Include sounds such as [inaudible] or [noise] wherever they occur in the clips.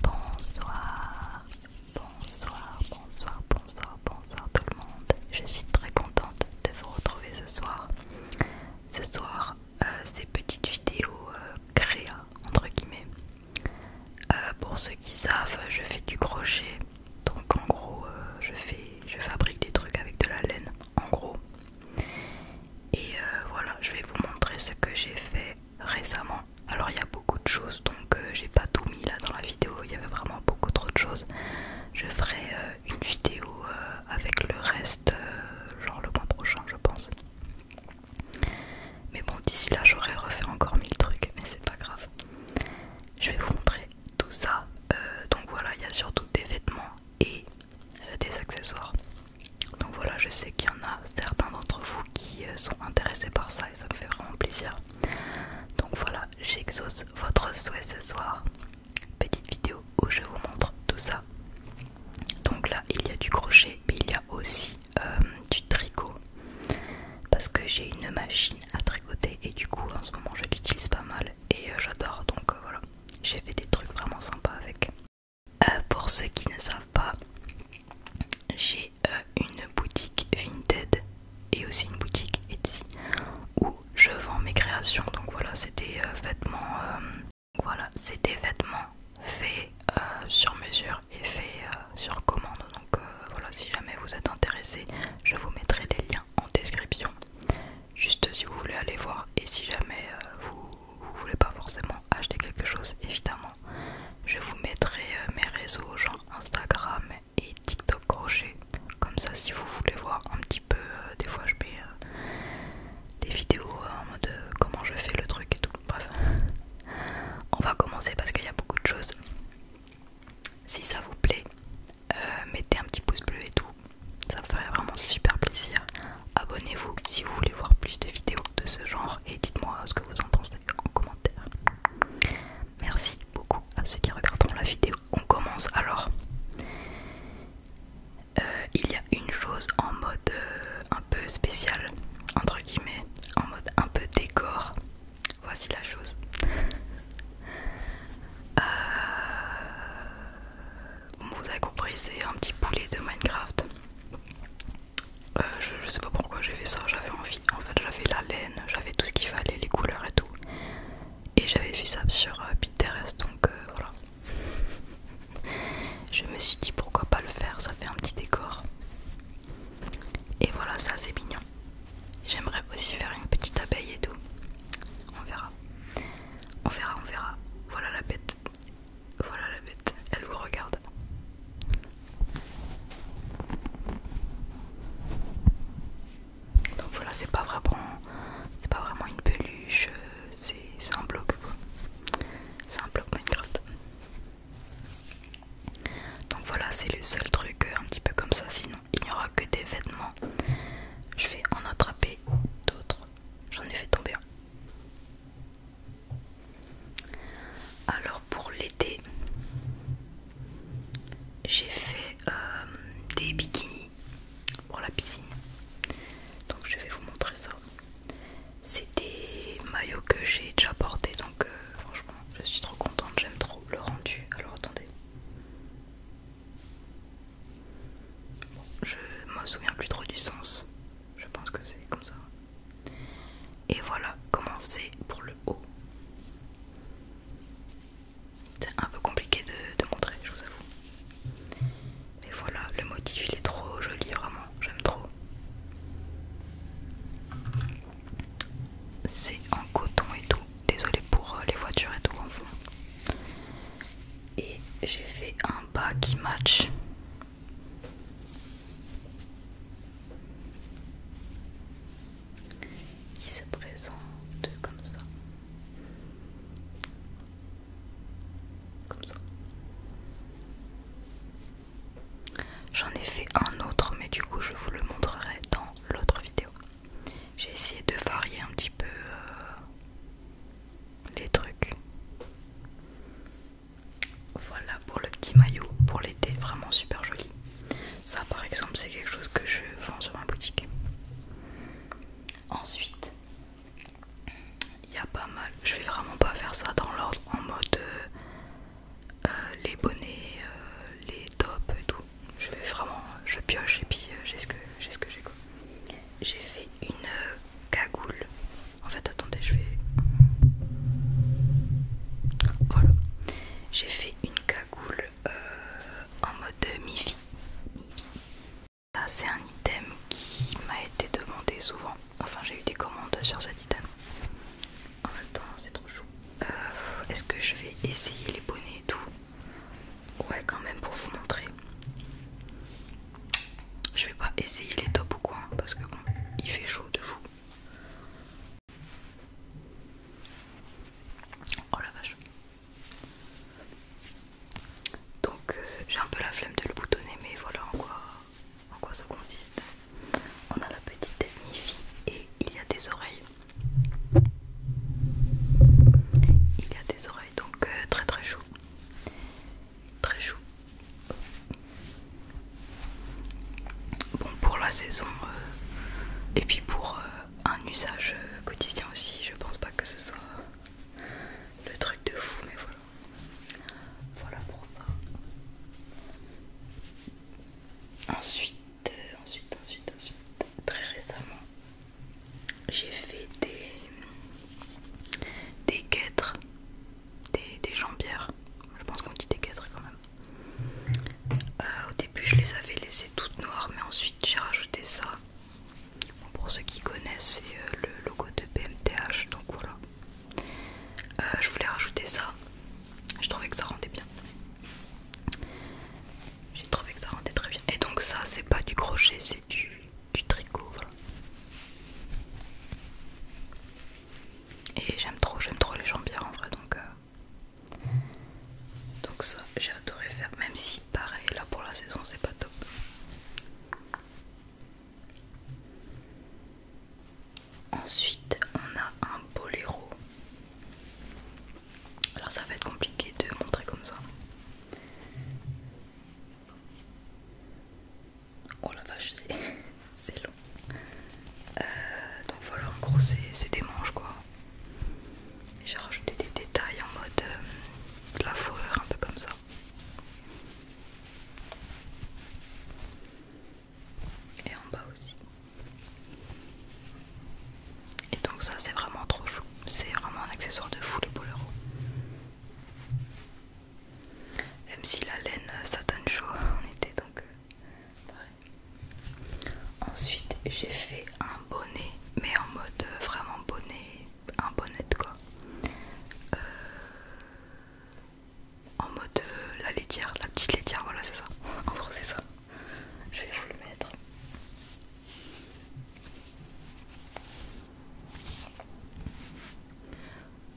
Bonsoir, bonsoir, bonsoir, bonsoir, bonsoir tout le monde. Je suis très contente de vous retrouver ce soir. Ce soir, euh, ces petites vidéos euh, créa entre guillemets. Euh, pour ceux qui savent, je fais du crochet. Donc en gros, je fais, je fabrique des trucs avec de la laine. En gros, et euh, voilà, je vais vous montrer ce que j'ai fait récemment. Alors il y a beaucoup de choses, donc euh, j'ai pas tout mis là dans la vidéo, il y avait vraiment beaucoup trop de choses. Je ferai euh, une vidéo avec le reste, genre le mois prochain je pense. Mais bon, d'ici là j'aurais refait encore mille trucs, mais c'est pas grave. Je vais vous montrer tout ça. donc voilà, il y a surtout des vêtements et euh, des accessoires. Donc voilà, je sais qu'il y en a certains d'entre vous qui euh, sont intéressés par ça et ça me fait vraiment plaisir. Donc voilà, j'exauce votre souhait ce soir. Petite vidéo où je vous montre tout ça. Donc là, il y a du crochet, mais il y a aussi euh, du tricot. Parce que j'ai une machine à tricoter et du coup, en ce moment, je l'utilise pas mal et j'adore. Donc voilà, j'ai fait des trucs vraiment sympas avec. Euh, pour ceux qui ne savent pas, j'ai euh, une boutique Vinted et aussi une boutique Etsy où je vends mes créations. Donc voilà, c'est des euh, vêtements, voilà, c'est vêtements faits sur mesure et faits sur commande. Donc voilà, si jamais vous êtes intéressé, je vous mettrai des liens en description, juste si vous voulez aller voir. Et si jamais vous vous voulez pas forcément acheter quelque chose, évidemment, je vous mettrai euh, mes réseaux, genre Instagram et TikTok crochet. Comme ça, si vous voulez voir un petit peu, euh, des fois je mets euh, des vidéos en mode comment je fais le truc et tout. Bref, [laughs] on va commencer parce qu'il y a beaucoup de choses. Si ça vous plaît, mettez un petit pouce bleu et tout ça me ferait vraiment super plaisir. Abonnez-vous si vous voulez voir plus de vidéos de ce genre et dites-moi ce que vous en pensez en commentaire. Merci beaucoup à ceux qui regarderont la vidéo. On commence alors. Euh, il y a une chose en mode euh, un peu spécial, entre guillemets, en mode un peu décor. Voici la chose. Euh, vous avez compris, c'est un petit poulet de Minecraft. Euh, je, ne sais pas pourquoi j'ai fait ça, j'avais envie. En fait, j'avais la laine, j'avais tout ce qu'il fallait, les couleurs et tout. Et j'avais vu ça sur euh, Pinterest, donc euh, voilà. [laughs] je me suis dit pourquoi pas le faire, ça fait un petit décor. Et voilà, ça c'est mignon. J'aimerais aussi faire une petite abeille et tout. On verra. On verra, on verra. Voilà la bête. Voilà la bête. Elle vous regarde. Donc voilà, c'est pas vraiment, c'est pas vraiment une peluche, euh, c'est un bloc quoi. C'est un bloc Minecraft. Donc voilà, c'est le seul truc euh, un petit peu comme ça. Sinon, il n'y aura que des vêtements. Je vais en attraper d'autres J'en ai fait tomber un. Alors pour l'été, j'ai fait euh, des bikinis pour la piscine. Donc je vais vous montrer ça. C'est des maillots que j'ai déjà portés donc euh, franchement je suis trop contente, j'aime trop le rendu. Alors attendez. Bon, je me souviens plus trop du sens. Je pense que c'est comme ça. Et voilà comment c'est pour le haut. C'est un peu compliqué de, de montrer, je vous avoue. Mais voilà, le motif il est trop joli, vraiment, j'aime trop. C'est en coton et tout. Désolé pour euh, les voitures et tout en fond et j'ai fait un bas qui match. Qui se présente comme ça. Comme ça. J'en ai fait un autre mais du coup je vous le montrerai dans l'autre vidéo. J'ai essayé de varier un petit peu euh, les trucs. Voilà pour le petit maillot pour l'été, vraiment super joli. Ça par exemple c'est quelque chose que je vends sur ma boutique. Ensuite, il y a pas mal. Je vais vraiment pas faire ça dans l'ordre en mode euh, euh, les bonnets, les tops et tout je vais vraiment, je pioche et puis euh, j'ai ce que j'ai ce que j'ai quoi. J'ai fait une euh, cagoule. En fait, attendez, je vais. Voilà. J'ai fait une cagoule euh, en mode mi-vie. Ça, c'est un item qui m'a été demandé souvent. Enfin, j'ai eu des commandes sur cet item. En même temps, c'est trop chou. Est-ce que je vais essayer les bonnets et tout Ouais, quand même, pour vous montrer. Je vais pas essayer les tops ou quoi, hein, parce que il fait chaud de fou. Oh la vache. Donc, euh, j'ai un peu la flemme de le boutonner, mais voilà en quoi, ça consiste. On a la petite tête et il y a des oreilles. Il y a des oreilles donc euh, très très chou. Très chou. Bon pour la saison euh, et puis pour euh, un usage quotidien aussi, je pense pas que ce soit le truc de fou mais voilà. Voilà pour ça. Ensuite, ensuite, ensuite, ensuite, très récemment, j'ai fait des, des guêtres, des, des jambières, je pense qu'on dit des guêtres quand même. Euh, au début je les avais laissées toutes noires mais ensuite j'ai rajouté ça. pour ceux qui connaissent c'est euh, le logo de BMTH donc voilà. Euh, je voulais rajouter ça, je trouvais que ça rendait bien. J'ai trouvé que ça rendait très bien. Et donc ça, c'est pas du crochet, c'est du, tricot. Et j'aime trop, j'aime trop les jambières en vrai. Donc, euh, donc ça, j'ai adoré faire. Même si, pareil, là pour la saison, c'est pas top. Ensuite, on a un boléro. Alors ça va être compliqué de montrer comme ça. Oh la vache, c'est [laughs] long. Euh, donc voilà, en gros c'est des manches quoi. J'ai rajouté des détails en mode euh, la fourrure un peu comme ça. Et en bas aussi. Et donc ça c'est vraiment trop chou. C'est vraiment un accessoire de fou les boleros. Même si la laine ça donne chaud [laughs] en été donc euh, Ensuite j'ai fait un bonnet mais en mode euh, vraiment bonnet, un bonnet quoi. Euh, en mode la laitière, la petite laitière, voilà c'est ça. [laughs] En gros c'est ça je vais vous le mettre.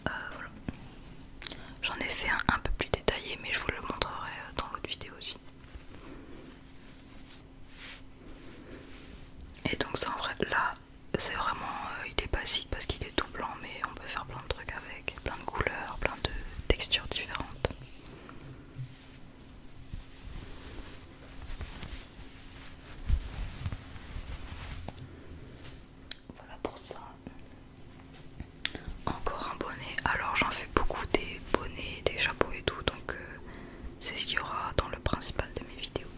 Euh, J'en ai fait un un peu plus détaillé, mais je vous le montrerai euh, dans l'autre vidéo aussi. Et donc ça en vrai, là, c'est vraiment, euh, il est basique parce qu'il est tout blanc, mais on peut faire plein de trucs avec, plein de couleurs, plein de textures différentes. Voilà pour ça. Encore un bonnet. Alors j'en fais beaucoup des bonnets, des chapeaux et tout. Donc euh, c'est ce qu'il y aura dans le principal de mes vidéos.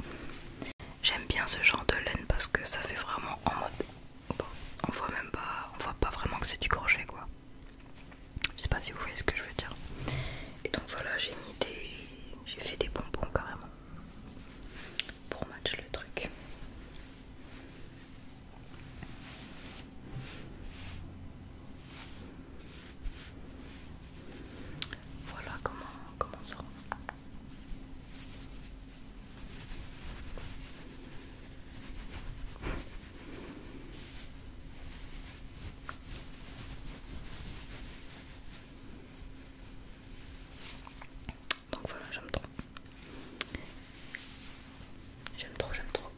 J'aime bien ce genre de laine parce que ça fait vraiment en mode... on voit même pas... On voit pas vraiment que c'est du crochet quoi. Je sais pas si vous voyez ce que je veux dire. Et donc voilà, j'ai mis des. J'ai fait des bonbons carrément. Pour match le truc. Voilà comment, ça ça. Donc voilà, j'aime trop. J'aime trop, j'aime trop.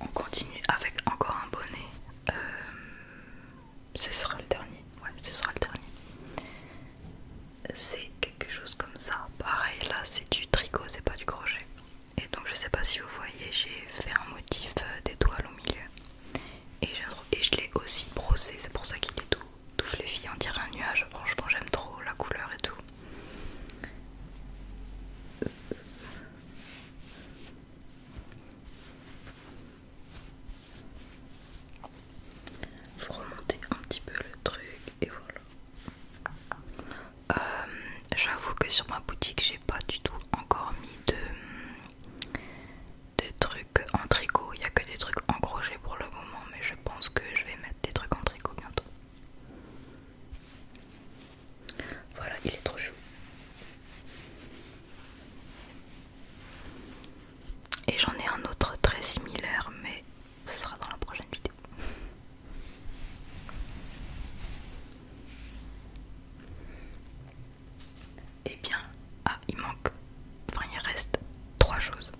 On continue avec encore un bonnet. Euh, ce sera le dernier. Ouais, ce sera le dernier. C'est quelque chose comme ça. Pareil, là, c'est du tricot, c'est pas du crochet. Et donc, je sais pas si vous voyez, j'ai fait un motif euh, d'étoile au milieu. Et je, l'ai aussi brossé, c'est pour ça qu'il est tout, tout fluffy. On dirait un nuage, franchement, j'aime trop la couleur et tout. Faut remonter un petit peu le truc et voilà. Euh, j'avoue que sur ma boutique, j'ai pas du tout encore mis de, de trucs en tricot. Il n'y a que des trucs en crochet pour le moment, mais je pense que je vais mettre des trucs en tricot bientôt. Voilà, il est trop chou. Et j'en ai un autre très similaire, mais ce sera dans la prochaine vidéo. Et eh bien, ah, il manque, enfin il reste trois choses.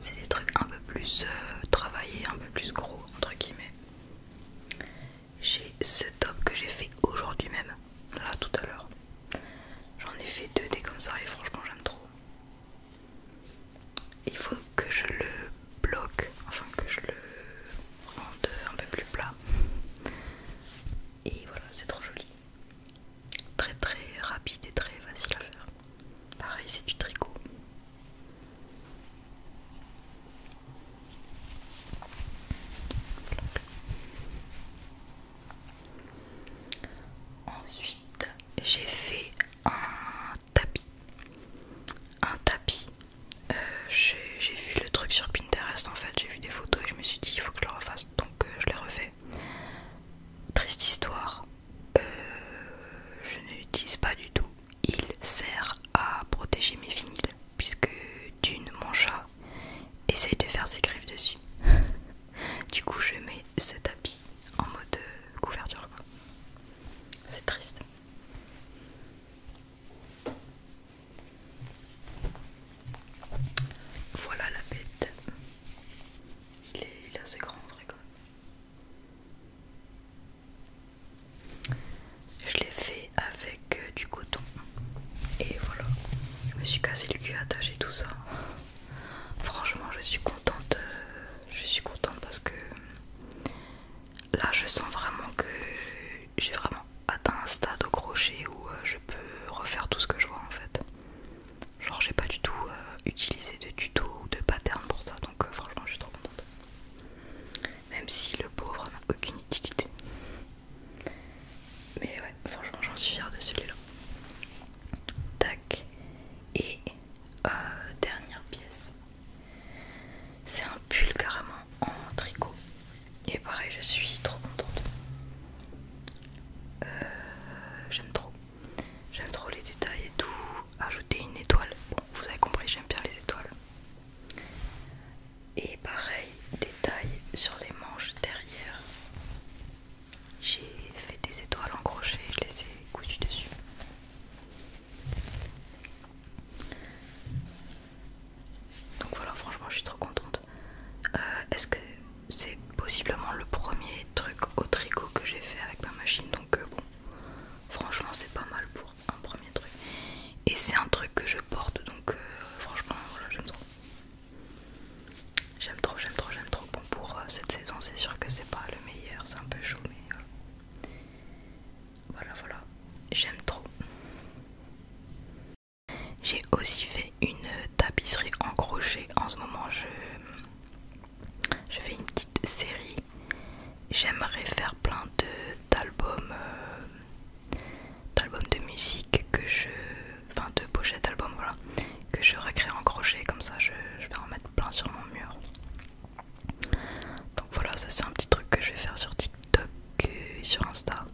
C'est des trucs un peu plus euh, travaillés, un peu plus gros, entre guillemets j'ai ce top que j'ai fait aujourd'hui même, là tout à l'heure. J'en ai fait deux des comme ça et franchement j'aime trop. Il faut que je le bloque, enfin que je le rende un peu plus plat. Et voilà, c'est trop joli. Très très rapide et très facile à faire. Pareil, c'est du tricot. Ensuite, j'ai fait un tapis. Un tapis. Euh, j'ai vu le truc sur Pinterest en fait, j'ai vu des photos et je me suis dit il faut que je le refasse donc euh, je l'ai refait. Triste histoire, euh, je ne l'utilise pas du tout. Il sert à protéger mes vinyles puisque d'une mon chat essaye de faire ses griffes dessus. [laughs] du coup je mets ce tapis en mode euh, couverture. C'est triste. Voilà la bête. Il est, il assez grand en je l'ai fait avec euh, du coton et voilà, je me suis cassé le cul à tout ça. Franchement, je suis contente, euh, je suis contente parce que là, je sens vraiment que j'ai vraiment atteint un stade au crochet où euh, je peux refaire tout ce que je vois en fait. Genre, j'ai pas du tout utilisé de tuto ou de pattern pour ça, donc franchement, je suis trop contente même si le pauvre n'a aucune utilité. Mais ouais, franchement, j'en suis fière de celui-là. Tac. Et euh, dernière pièce. C'est un pull carrément en tricot. Et pareil, je suis trop contente. Euh, j'aime trop. J'aime trop les détails et tout. Ajouter une étoile. Bon, vous avez compris, j'aime bien les étoiles et pareil détail sur les manches derrière j'ai fait des étoiles en crochet je les ai cousues dessus donc voilà franchement je suis trop contente euh, est-ce que c'est possiblement le premier truc au tricot que j'ai fait avec ma machine donc euh, bon franchement c'est pas mal pour un premier truc et c'est un truc que je porte donc euh, franchement j'aime trop j'aime trop j'aime trop j'aime trop bon pour euh, cette saison c'est sûr que c'est pas le meilleur c'est un peu chaud mais voilà euh, voilà, voilà. j'aime trop j'ai aussi fait une tapisserie en crochet en ce moment je je fais une petite série j'aimerais faire plein d'albums euh, d'albums de musique que je enfin de pochettes d'albums voilà que je recrée en crochet comme ça je, vais en mettre plein sur mon mur donc voilà ça c'est un petit truc que je vais faire sur TikTok et euh, sur Insta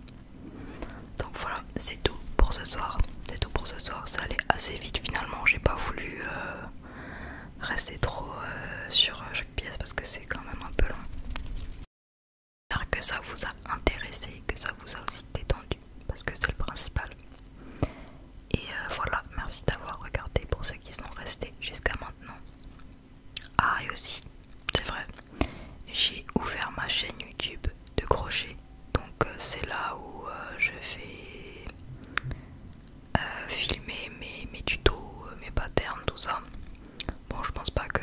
donc voilà c'est tout pour ce soir c'est tout pour ce soir ça allait assez vite finalement j'ai pas voulu euh, rester trop euh, sur euh, chaque pièce parce que c'est quand même un peu long. J'espère que ça vous a intéressé, que ça vous a aussi détendu parce que c'est le principal. Et euh, voilà, merci d'avoir regardé pour ceux qui sont restés jusqu'à maintenant. Ah, et aussi, c'est vrai, j'ai ouvert ma chaîne YouTube de crochet. Donc, c'est là où je fais euh, filmer mes, tutos, euh, mes patterns, tout ça. Bon, je pense pas que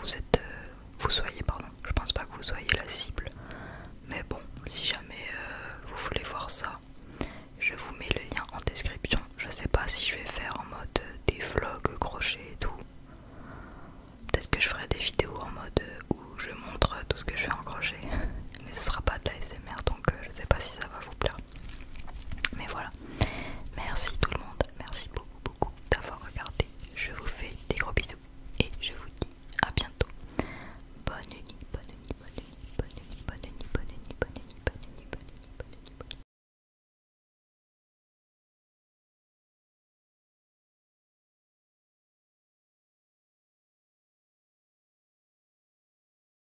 vous êtes, euh, vous soyez, pardon, je pense pas que vous soyez la cible. Mais bon, si jamais vous voulez voir ça, je vous mets le lien en description. Je sais pas si je vais faire en mode des vlogs crochet et tout. Peut-être que je ferai des vidéos en mode où je montre tout ce que je fais en crochet, [laughs] mais ce sera pas de la SMR donc je sais pas si ça va vous plaire. Mais voilà. Merci tout le monde. Merci beaucoup, beaucoup d'avoir regardé. Je vous fais des gros bisous. Et je vous dis à bientôt. Bonne nuit, bonne nuit, bonne nuit, bonne nuit, bonne nuit, bonne nuit, bonne nuit, bonne nuit, bonne bonne